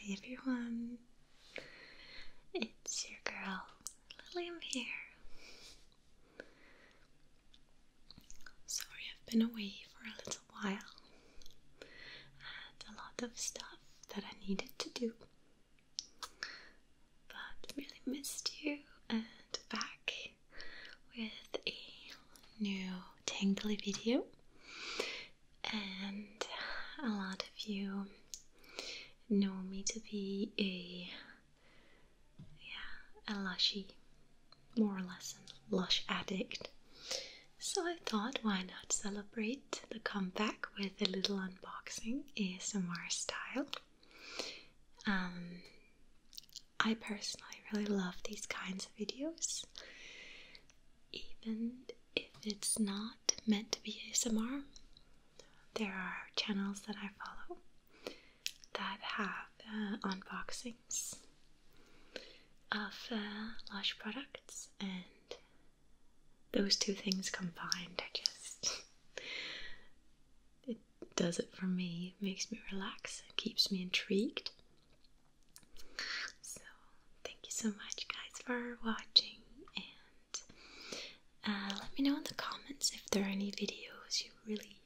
Hi everyone, it's your girl Lily. I'm here. Sorry, I've been away for a little a while and a lot of stuff that I needed to do. But really missed you and back with a new tangly video and a lot of you know me to be a yeah a lushy more or less a lush addict. So I thought, why not celebrate the comeback with a little unboxing ASMR style? Um, I personally really love these kinds of videos, even if it's not meant to be ASMR. There are channels that I follow that have uh, unboxing listings of uh, Lush products, and those two things combined, I just. it does it for me, makes me relax, keeps me intrigued. So, thank you so much, guys, for watching. And uh, let me know in the comments if there are any videos you're really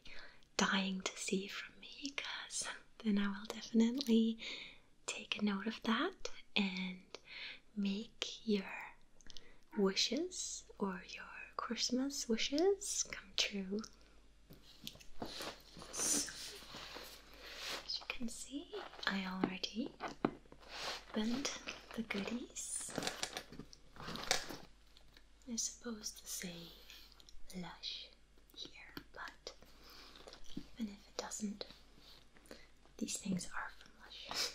dying to see from me, because then I will definitely take a note of that and make your wishes or your Christmas wishes come true. as you can see, I already opened the goodies. i are supposed to say lush here, but even if it doesn't, these things are from Lush.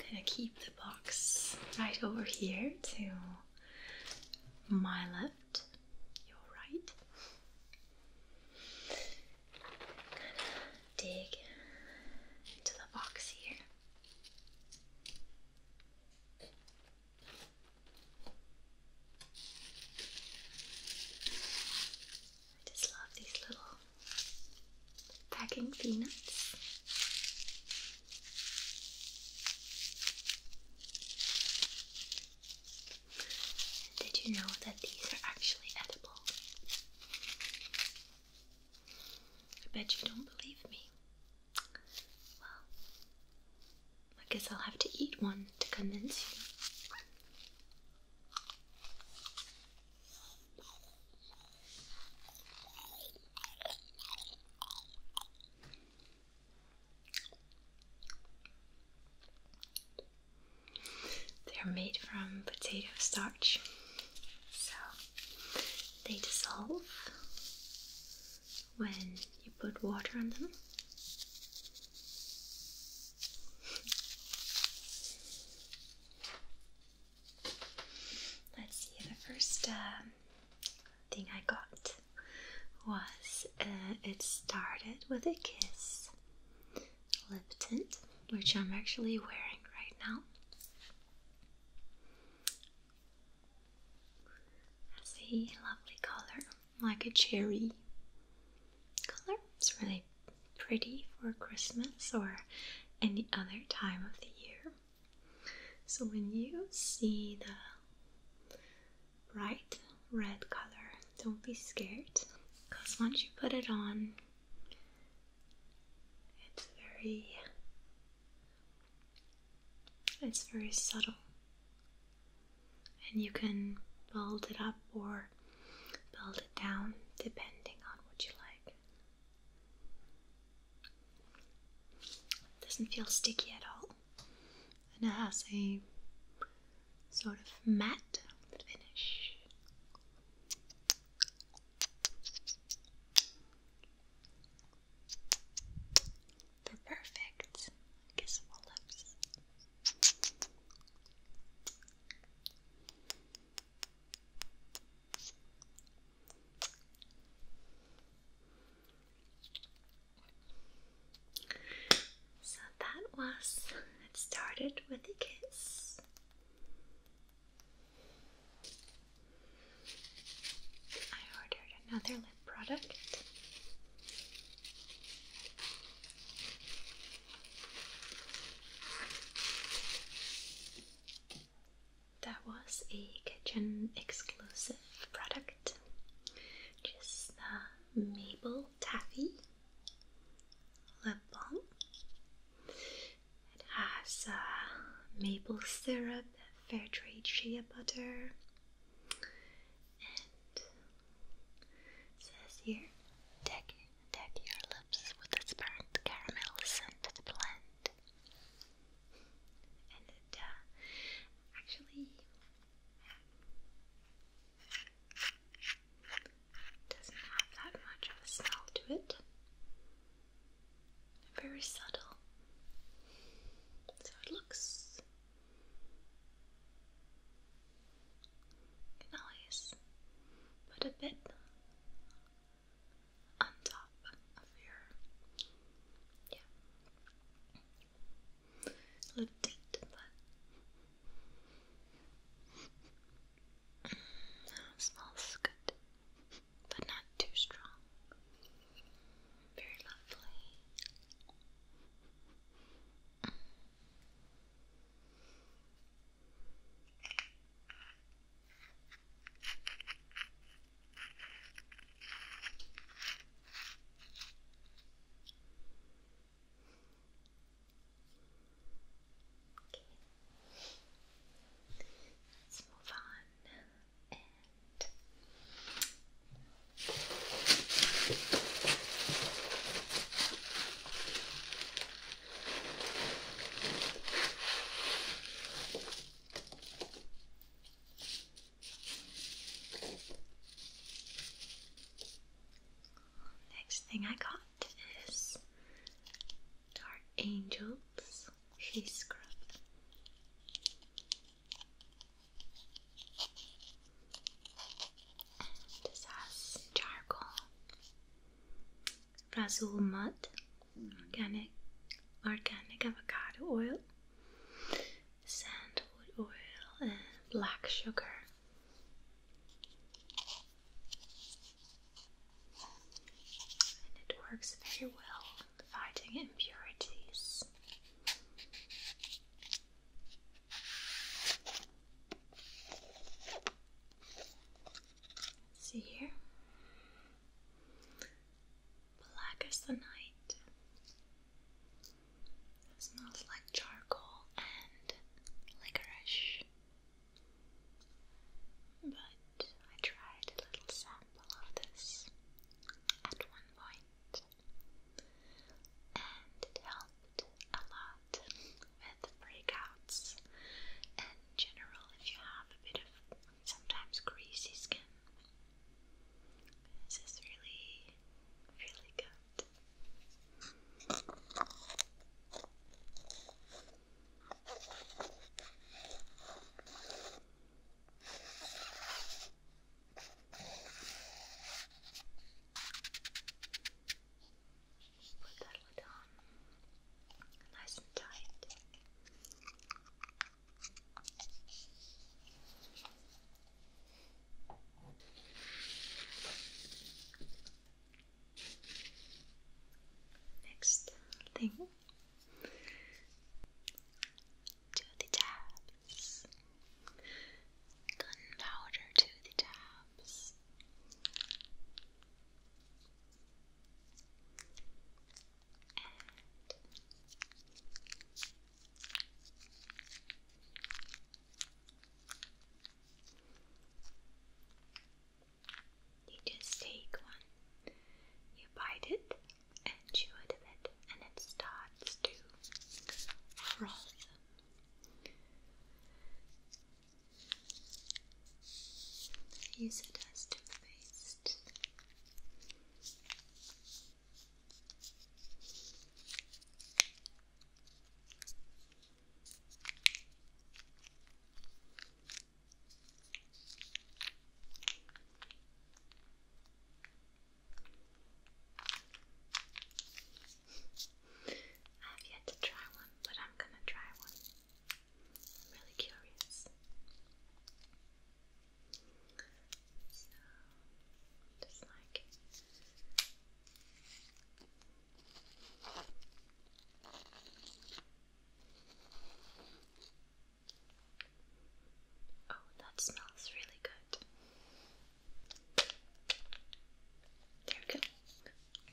I'm gonna keep the box right over here to my left, your right. I'm dig into the box here. I just love these little packing peanuts. Did you know that these are actually edible? I bet you don't believe me. Well, I guess I'll have to eat one to convince you. They're made from potato starch, so they dissolve when you put water on them. Let's see, the first um, thing I got was uh, it started with a kiss lip tint, which I'm actually wearing right now. That's lovely color like a cherry color. It's really pretty for Christmas or any other time of the year. So when you see the bright red color, don't be scared because once you put it on, it's very it's very subtle and you can build it up or build it down depending on what you like. It doesn't feel sticky at all, and it has a sort of matte finish. perfect kissable lips. So that was it started with a kiss. I ordered another lip product. That was a kitchen exclusive product, just the maple taffy lip balm. It has uh, maple syrup, fair trade shea butter, and it says here, deck, deck your lips with a burnt caramel scented blend. And it uh, actually doesn't have that much of a smell to it. Very subtle. So it looks Nice. can put a bit on top of your yeah lip tint, but smells good, but not too strong. Very lovely. Let's move on Next thing I got is Dark Angels Face Scrub. This has charcoal, Brazil mud, organic, organic avocado oil, sandwood oil, and black sugar. And it works very well fighting impurities. See here? Black as the night. smells like charcoal and licorice. But I tried a little sample of this at one point and it helped a lot with breakouts in general if you have a bit of sometimes greasy skin. This is really, really good. Put that lid on nice and tight. Next thing to the tabs. Gunpowder to the tab cups. you just take one, you bite it, and chew it and it starts to froth. Use it as toothpaste. I have yet to try one, but I'm gonna try one. I'm really curious. So, just like Oh, that smells really good. There we go.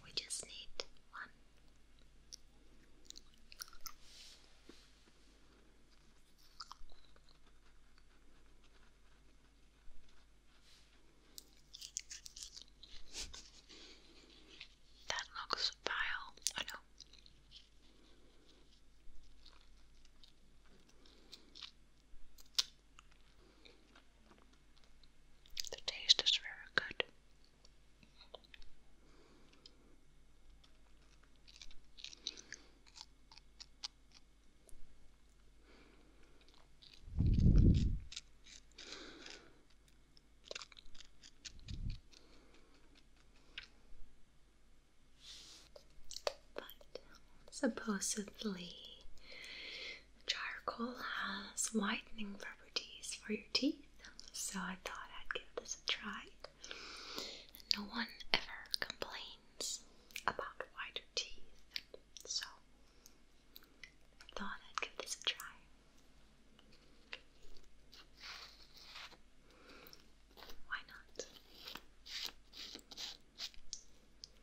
We just need one. that looks vile, I know. The taste is very good. But supposedly Charcoal has whitening properties for your teeth, so I thought I'd give this a try. No one ever complains about whiter teeth, so I thought I'd give this a try. Why not?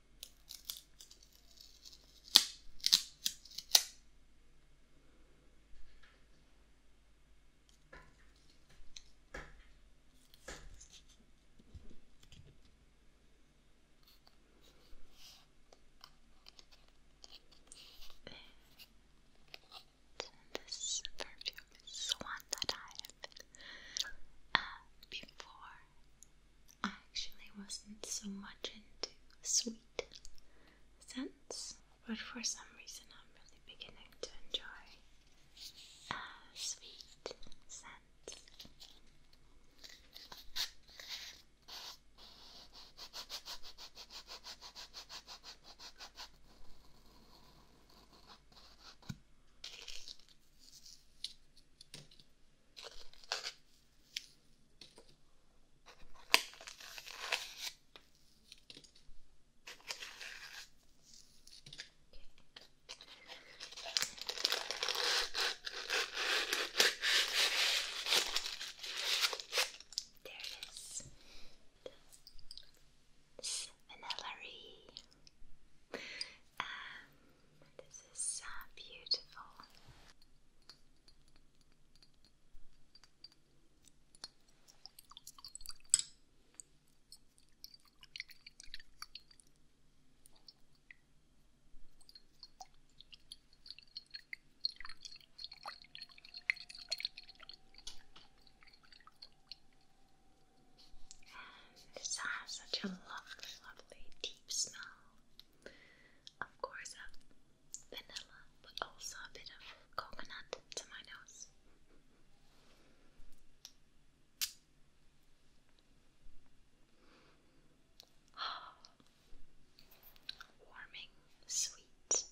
And this perfume is one that I have uh, before I actually wasn't so much into sweet scents, but for some reason I'm really beginning to enjoy uh, sweet scents. There it is. It's this is so beautiful. And this has such a lovely, lovely deep smell of course, of um, vanilla, but also a bit of coconut to my nose. Oh, warming, sweet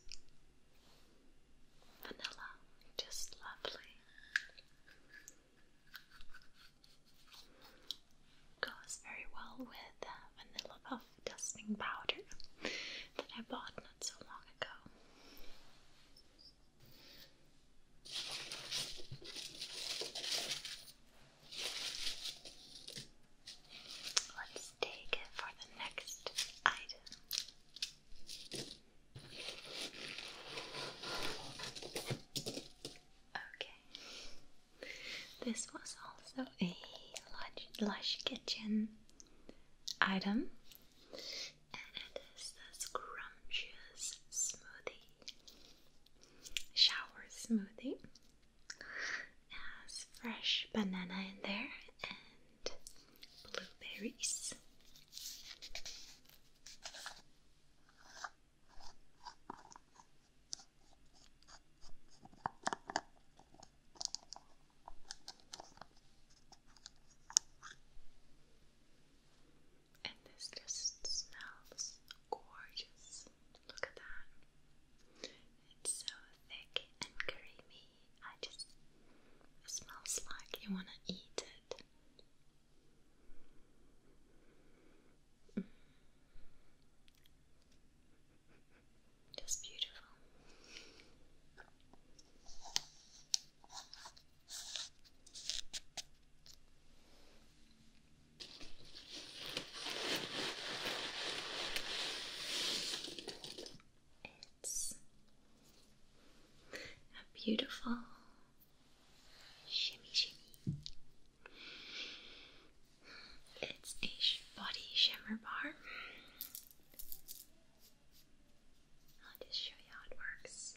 vanilla, just lovely. Goes very well with uh, vanilla puff dusting powder that I bought not so long ago. Let's take it for the next item. Okay, this was also a lush, kitchen item, and it is the scrumptious smoothie, shower smoothie. Has fresh banana in there and blueberries. And this just smells gorgeous. Look at that. It's so thick and creamy. I just. It smells like you want to eat it. Mm. That's beautiful. It's a beautiful shimmy shimmy. It's a body shimmer bar. I'll just show you how it works.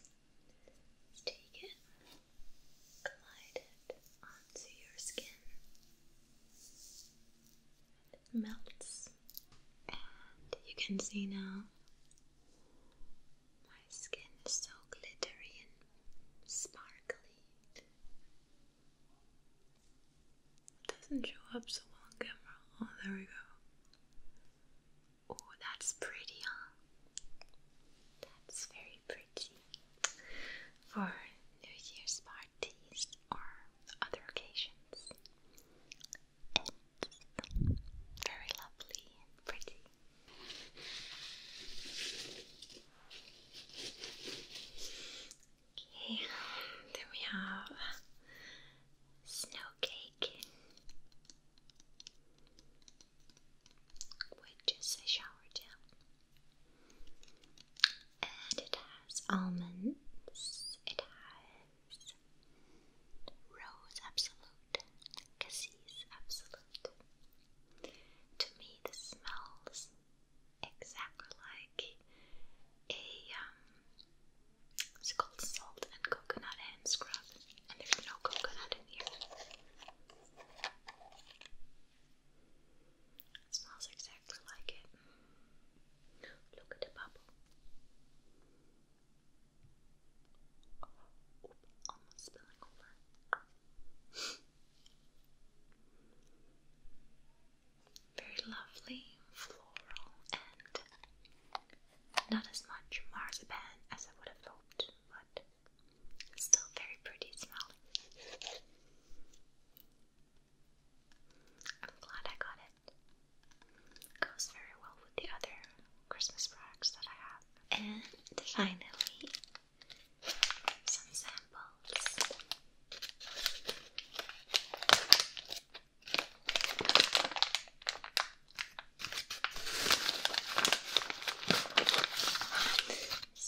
Take it, glide it onto your skin. It melts, and you can see now my skin is so glittery and sparkly. It doesn't show up so well on camera. Oh, there we go. Oh, that's pretty, That's very pretty for New Year's parties or other occasions. very lovely and pretty. Okay, then we have snow cake, which is a shower gel, and it has almonds, it has rose absolute, cassis absolute. To me, this smells exactly like a it's um, called salt and coconut hand scrub, and there's no coconut in here. smells exactly like it. Look at the bubble. Oh, almost spilling over. Very lovely, floral, and not as much marzipan as I would have hoped, but still very pretty smelling. I'm glad I got it. Goes very well with the other Christmas products that I have. And finally, some samples. This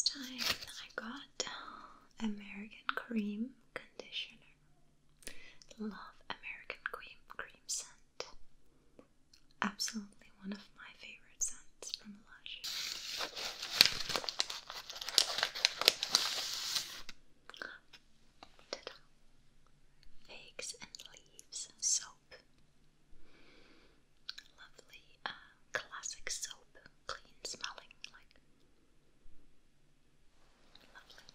time I got American Cream Conditioner. Love American Cream Cream Scent. Absolutely one of my favorite scents from blush. and leaves soap. Lovely uh, classic soap, clean smelling, like lovely.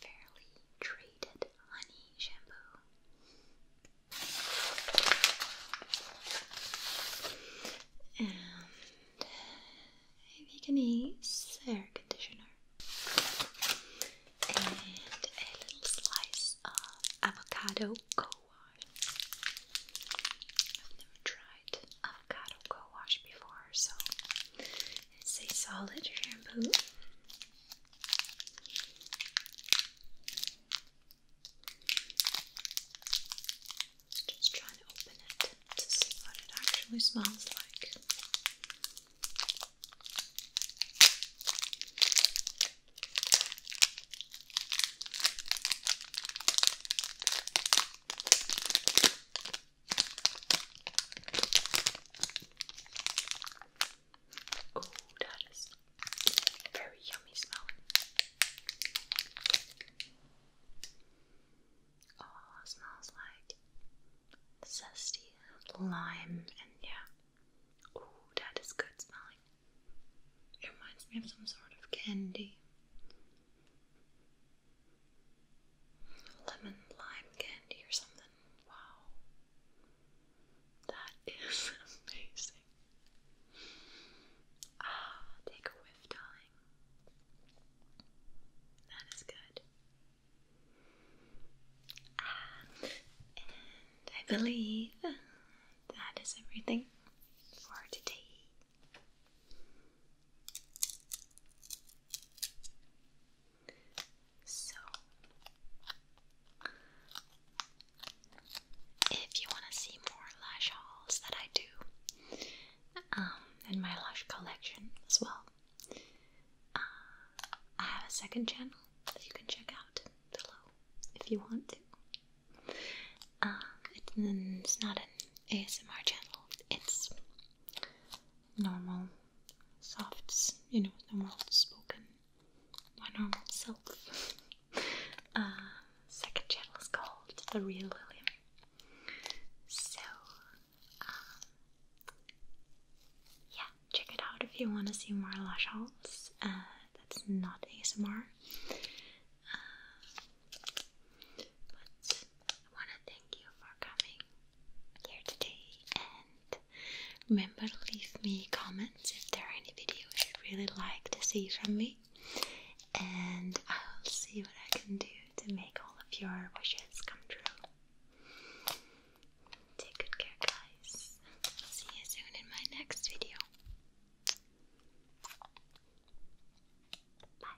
Fairly treated honey shampoo. And Vietnamese uh, hair conditioner. And a little slice of avocado co-wash. I've never tried avocado co-wash before, so it's a solid shampoo. Just trying to open it to see what it actually smells like. Oh, that is a very yummy smell. Oh, smells like zesty lime and yeah. Oh, that is good smelling. It reminds me of some sort of candy. Lemon lime candy or something. Wow. That is amazing. Ah, take a whiff, darling. That is good. and I believe that is everything for today. So, if you want to see more lash hauls that I do um, in my lash collection as well, uh, I have a second channel that you can check out below if you want to. Um, it's not an ASMR channel, it's normal, softs, you know, normal spoken, my normal self. Uh, second channel is called The Real Lily. So, um, yeah, check it out if you want to see more lash hauls. Uh, that's not ASMR. Uh, but I want to thank you for coming here today and remember leave me a comment if there are any videos you'd really like to see from me, and I will see what I can do to make all of your wishes come true. Take good care, guys. see you soon in my next video. Bye.